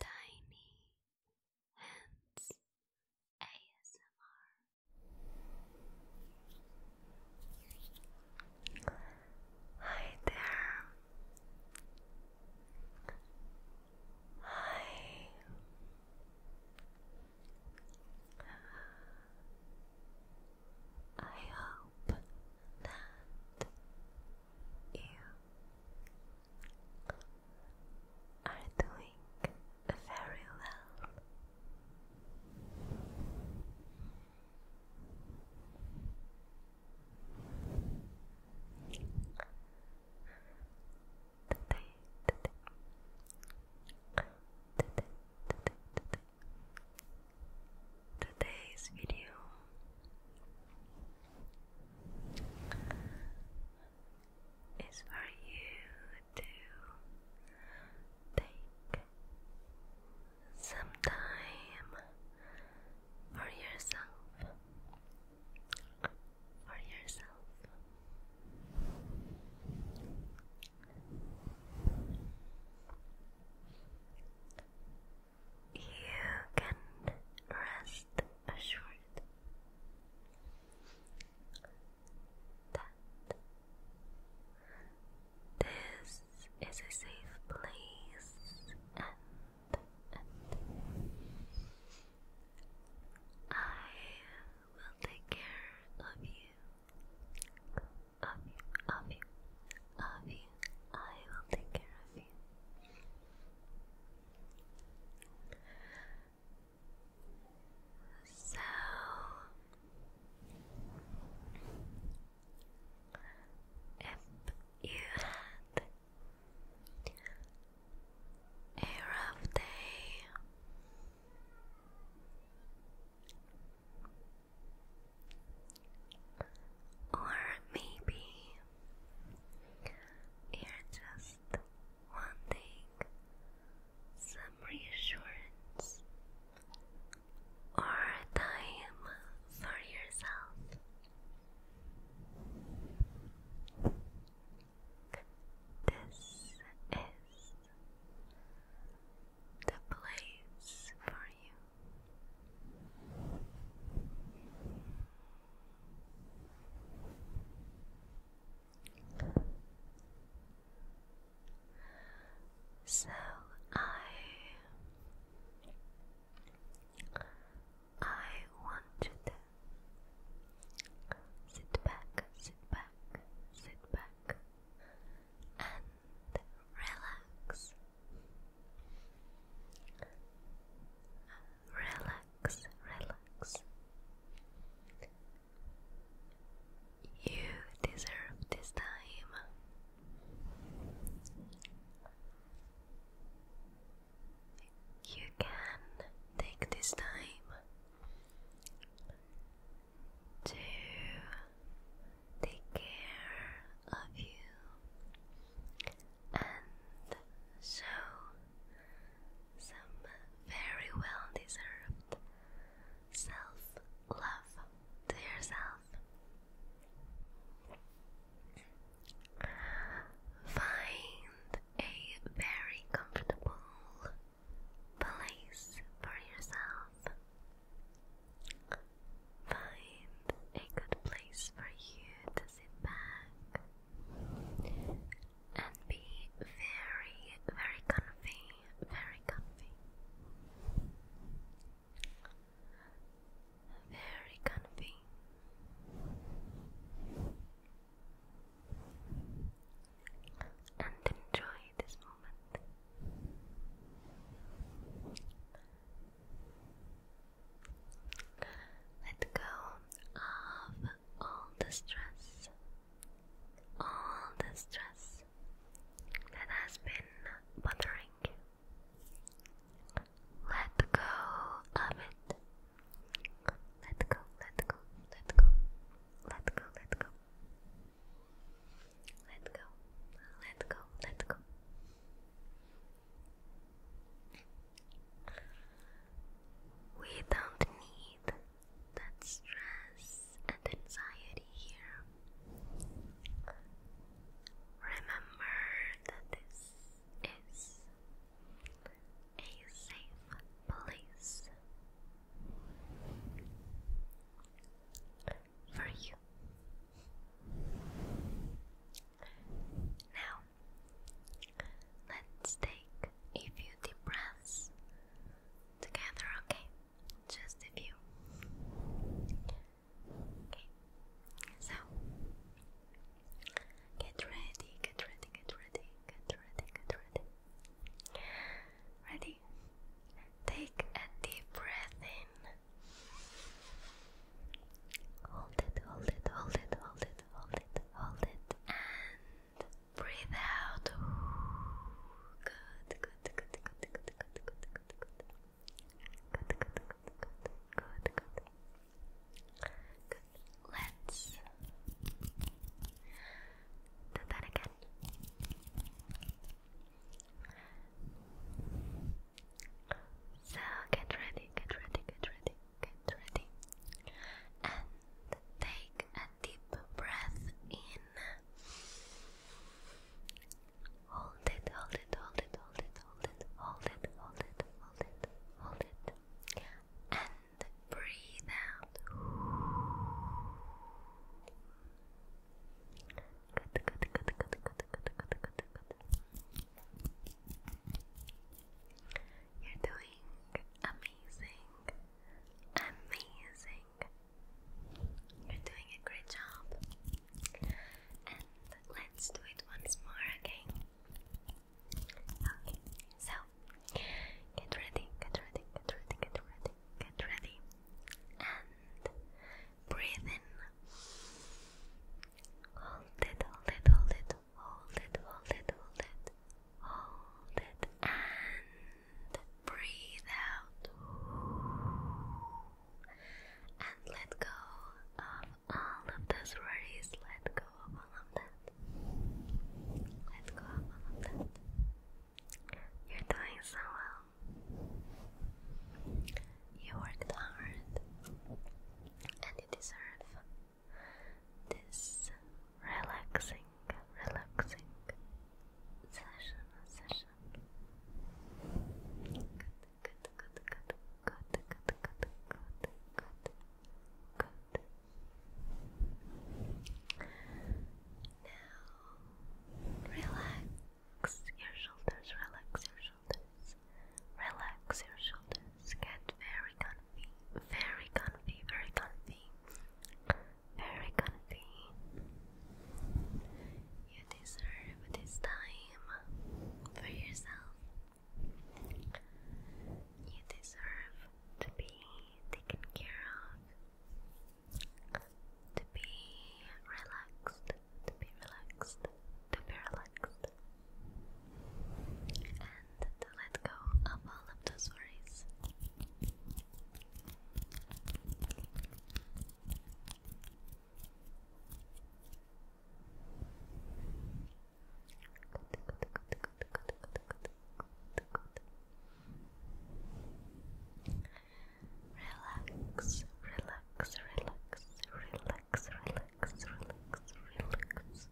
Tiny Hands ASMR. Hi there. Hi. I hope that you are doing very well. Today, today, today, today, today. Today's video it's for you to take some time for yourself. For yourself. You can rest assured that this is a safe place and, I will take care of you. Of you, of you, of you. I will take care of you. So, if you had a rough day, or maybe you're just wanting some reassurance or time for yourself. This is the place for you. So I I want to sit back, sit back, sit back and relax, relax, relax. You deserve this time. You can take this time to take care of you. And so, some very well deserved self love to yourself. Find a very comfortable place for yourself. Find a good place for you to sit back and be very, very comfy, very comfy, very comfy. And enjoy this moment. Let go of all the stress, all the stress that has been bothering Let go of it. Let go, let go, let go, let go, let go. Let go, let go, let go. We don't need that stress and anxiety here. Remember that this is a safe place for you. Now, let's take a few deep breaths together, okay? Just a few. Okay, so get ready, get ready, get ready, get ready, get ready. Ready? Take a deep breath in. Hold it, hold it, hold it, hold it, hold it, hold it, and breathe out. Good, good, good, good, good, good, good, good, good, good, good, good, good, good, good. Let's do that again. So get ready, get ready, get ready, get ready. And take a deep breath in. Hold it, hold it, hold it, hold it, hold it, hold it, hold it, hold it, hold it. And breathe out. You're doing amazing, amazing. You're doing a great job. And let's do it once more, okay? Okay, so get ready, get ready, get ready, get ready, get ready and breathe in. Hold it, hold it, hold it, hold it, hold it, hold it, hold it, and breathe out. And let go of all of those worries. Let go of all of that. Let go of all of that. You're doing so well. You worked hard and you deserve this relaxing, relaxing session, session. Good, good, good, good, good, good, good, good, good, now, relax your shoulders, relax your shoulders, relax your shoulders. Get very comfy, very comfy, very comfy, very comfy. You deserve this time for yourself. You deserve to be taken care of to be relaxed, to be relaxed, to be relaxed, and to let go of all of those worries. Good, good, good, Relax, relax, relax, relax, relax, relax, relax.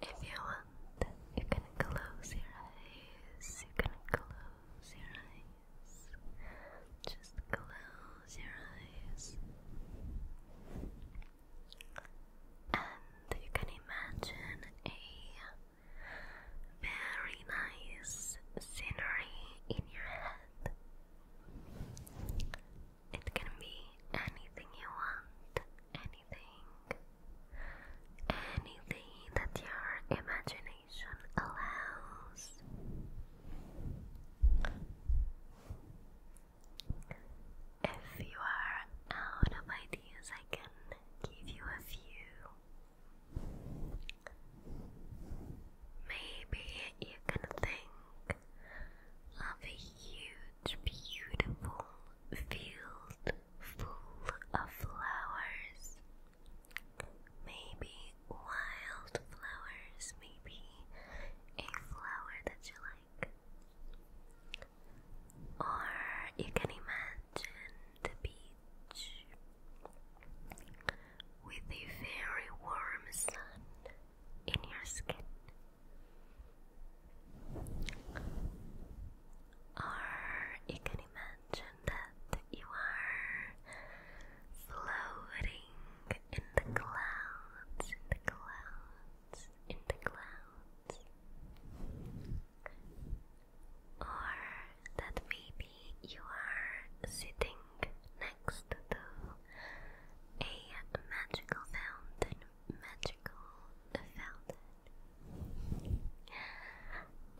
If you want, you can close your eyes. You can close your eyes. Just close your eyes and you can imagine a very nice scenery in your head. It can be anything you want, anything, anything that your imagination allows. If you are out of ideas, I can give you a few. Maybe you can think of a huge, beautiful field full of flowers. Maybe wild maybe a flower that you like. Or you can imagine the beach with a very warm sun in your skin. Or you can imagine that you are floating in the clouds in the clouds, or that maybe you are sitting next to a magical fountain, magical fountain.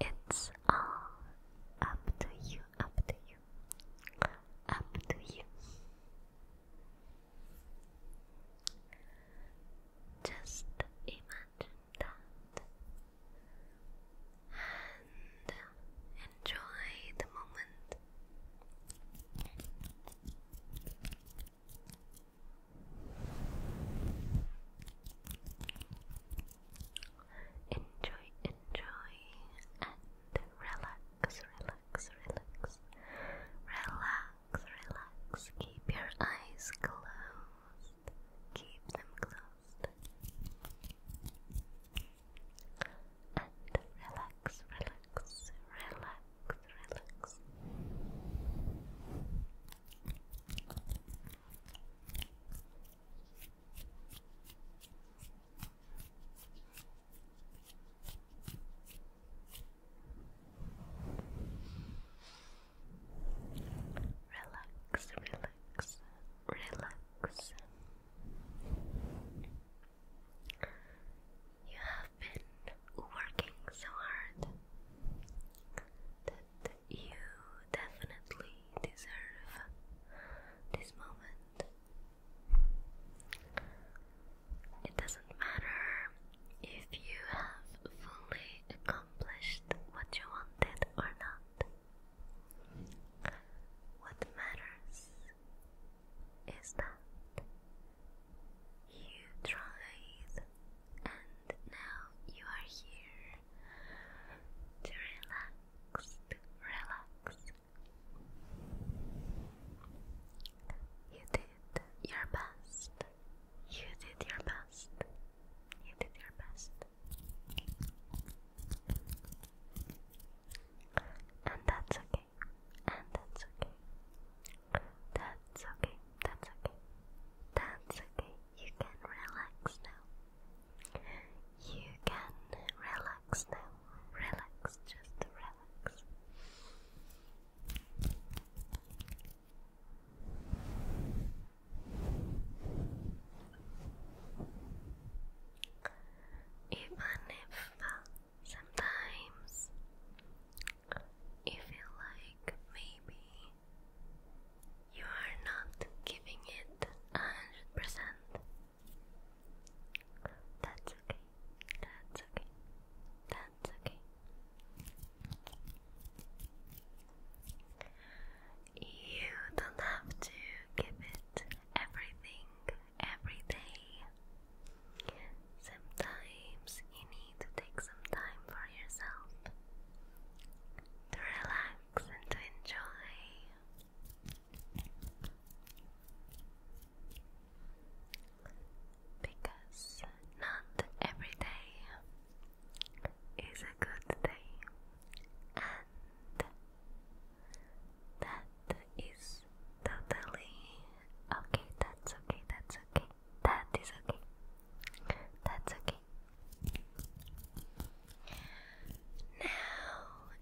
It's all up to you, up to you, up to you. Just imagine that and enjoy the moment. Enjoy, enjoy, and relax, relax relax, relax, relax, relax. Keep your eyes closed, keep them closed, and relax, relax, relax, relax. Relax, relax, relax. You have been working so hard that you definitely deserve this moment it doesn't matter if you have fully accomplished what you wanted or not. What matters is that you tried and now you are here to relax, relax, you did your best. You did your best. You did your best. And that's okay. And that's okay. That's okay. That's okay. That's okay. You can relax now. You can relax now relax, just relax. Even if uh, sometimes you feel like maybe you are not giving it a hundred percent, that's okay. That's okay. That's okay. You don't have to give it everything every day. Sometimes you need to take some time for yourself to relax and to enjoy. Because not every day is a good day, and that is totally okay. That's okay, that's okay, that is okay, that's okay. Now,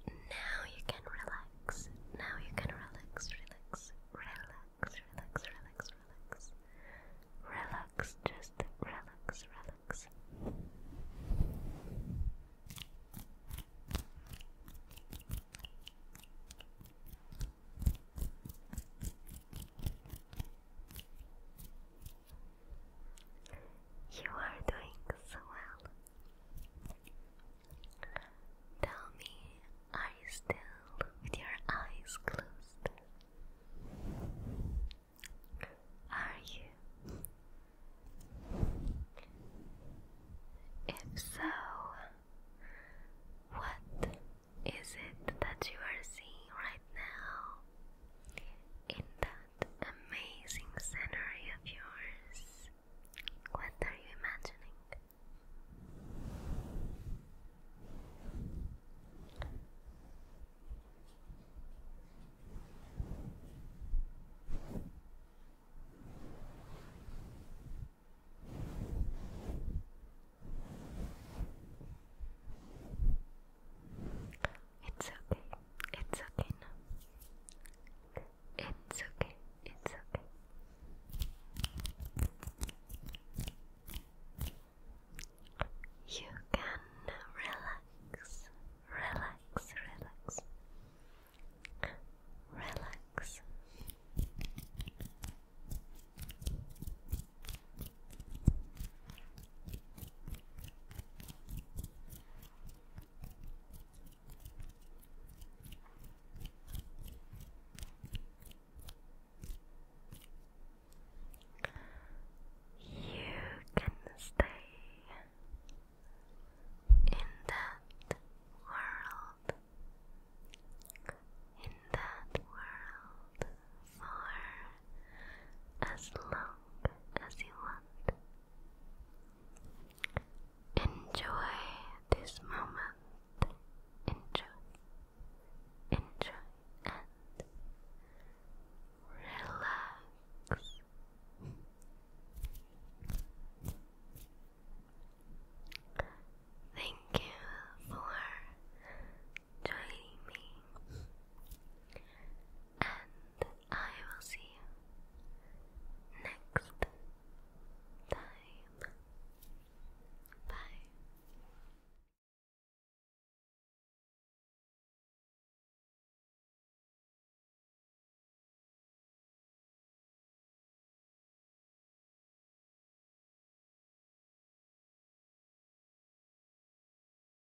now you can relax. Now you can relax, relax, relax, relax, relax, relax. Relax, just relax, relax. You are doing so well. Tell me, are you still with your eyes closed? Are you? If so, what is it that you are seeing right now in the amazing scenery of yours. What are you imagining? It's okay. It's okay now. It's okay. It's okay. You can relax, relax, relax, relax. You can stay in that world, in that world for as long as you want. Enjoy this moment. Enjoy. Enjoy and relax. Thank you for joining me and I will see you next time. Bye.